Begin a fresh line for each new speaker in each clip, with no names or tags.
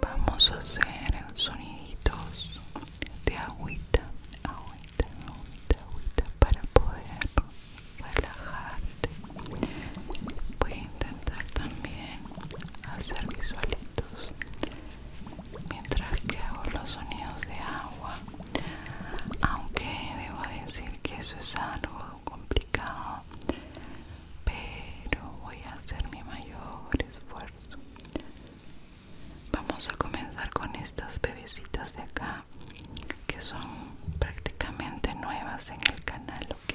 Vamos a hacer sonidos de agüita, agüita, agüita, agüita para poder relajarte voy a intentar también hacer visualitos mientras que hago los sonidos de agua aunque debo decir que eso es algo complicado pero voy a hacer mi mayor esfuerzo vamos a comenzar con estas bebecitas de acá que son prácticamente nuevas en el canal ok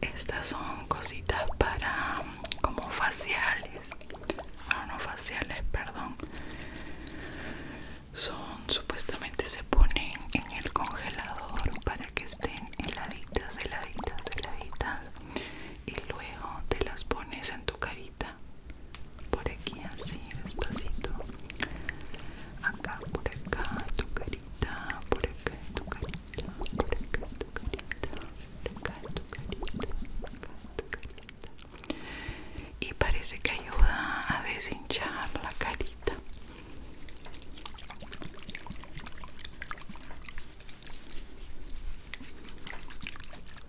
Estas son cositas para mm, como faciales, Ah no faciales, perdón. Son supuestamente se ponen en el congelador para que estén heladitas, heladitas, heladitas y luego te las pones en tu carita por aquí así despacito acá por acá tu carita por acá tu carita por acá tu carita por acá tu carita por acá tu carita y parece que ayuda a deshinchar la carita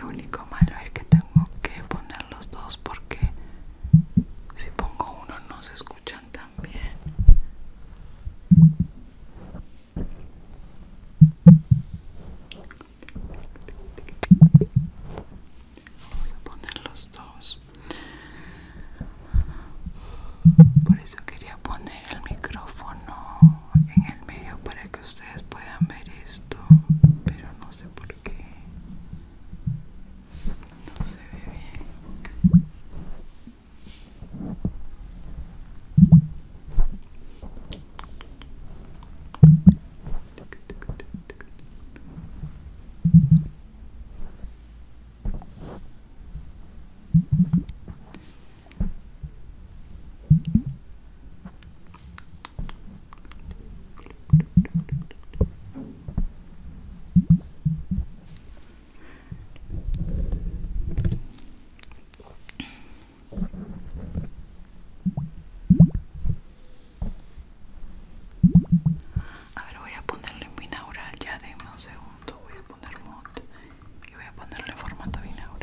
Lo único malo es que tengo que poner los dos porque si pongo uno no se escuchan tan bien. Vamos a poner los dos. Por eso quería poner el micrófono en el medio para que ustedes puedan ver esto, pero no sé por qué. No se ve bien. A ver, voy a ponerle binaural ya de un segundo. Voy a poner mod y voy a ponerle formato binaural.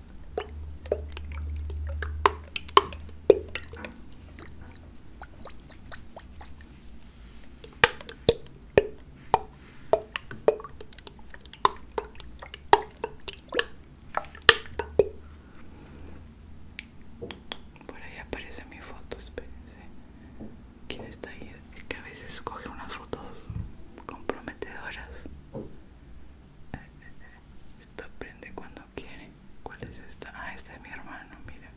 Por ahí aparece mi foto, espérense. ¿Quién está ahí? que a veces coge unas fotos comprometedoras esto prende cuando quiere. ¿Cuál es esta? Ah, este es mi hermano, mira.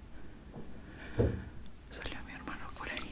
Salió mi hermano por ahí.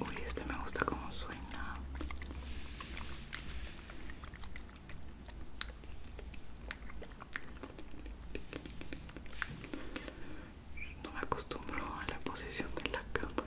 Uy, este me gusta como suena. No me acostumbro a la posición de la cámara.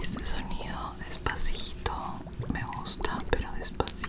Este sonido despacito me gusta, pero despacito.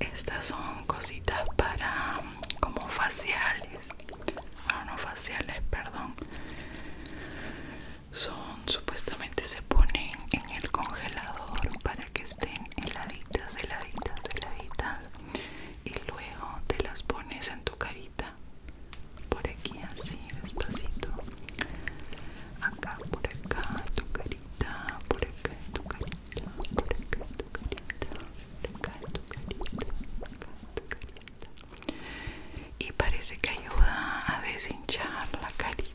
Estas son cositas para como faciales, Ah no faciales, perdón. Son supuestamente se ponen en el congelador para que estén heladitas, heladitas, heladitas y luego te las pones en tu carita por aquí así despacito acá por acá tu carita por acá tu carita por acá tu carita por acá tu carita por acá tu carita y parece que ayuda a deshinchar la carita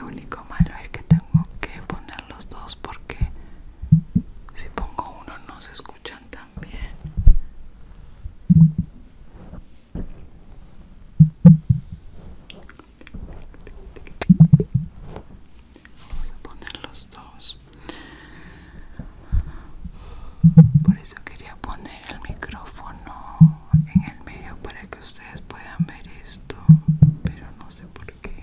Lo único malo es que tengo que poner los dos porque si pongo uno no se escucha escuchan también vamos a poner los dos por eso quería poner el micrófono en el medio para que ustedes puedan ver esto pero no sé por qué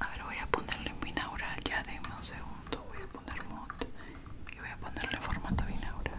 A ver, voy a ponerle en binaural ya de un segundo. Voy a poner mod y voy a ponerle formato binaural.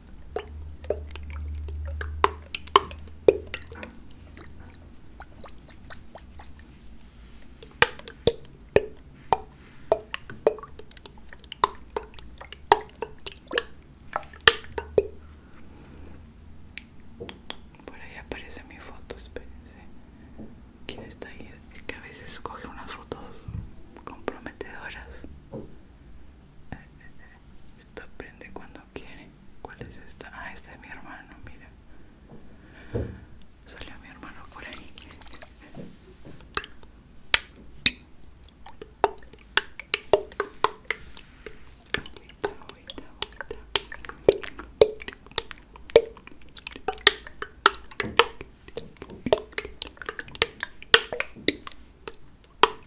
Por ahí aparece mi foto, espérense. ¿Quién está ahí? que a veces coge unas fotos comprometedoras. Esta prende cuando quiere. ¿Cuál es esta? Ah, esta es mi hermano, mira. Salió mi hermano por ahí. Agüita, agüita,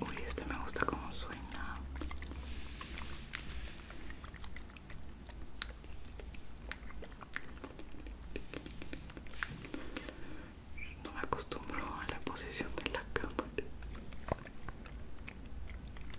Uy, este me gusta como suena. No me acostumbro a la posición de la cámara.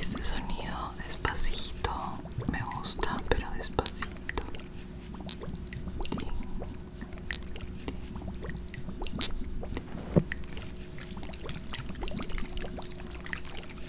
Este sonido despacito me gusta, pero despacito.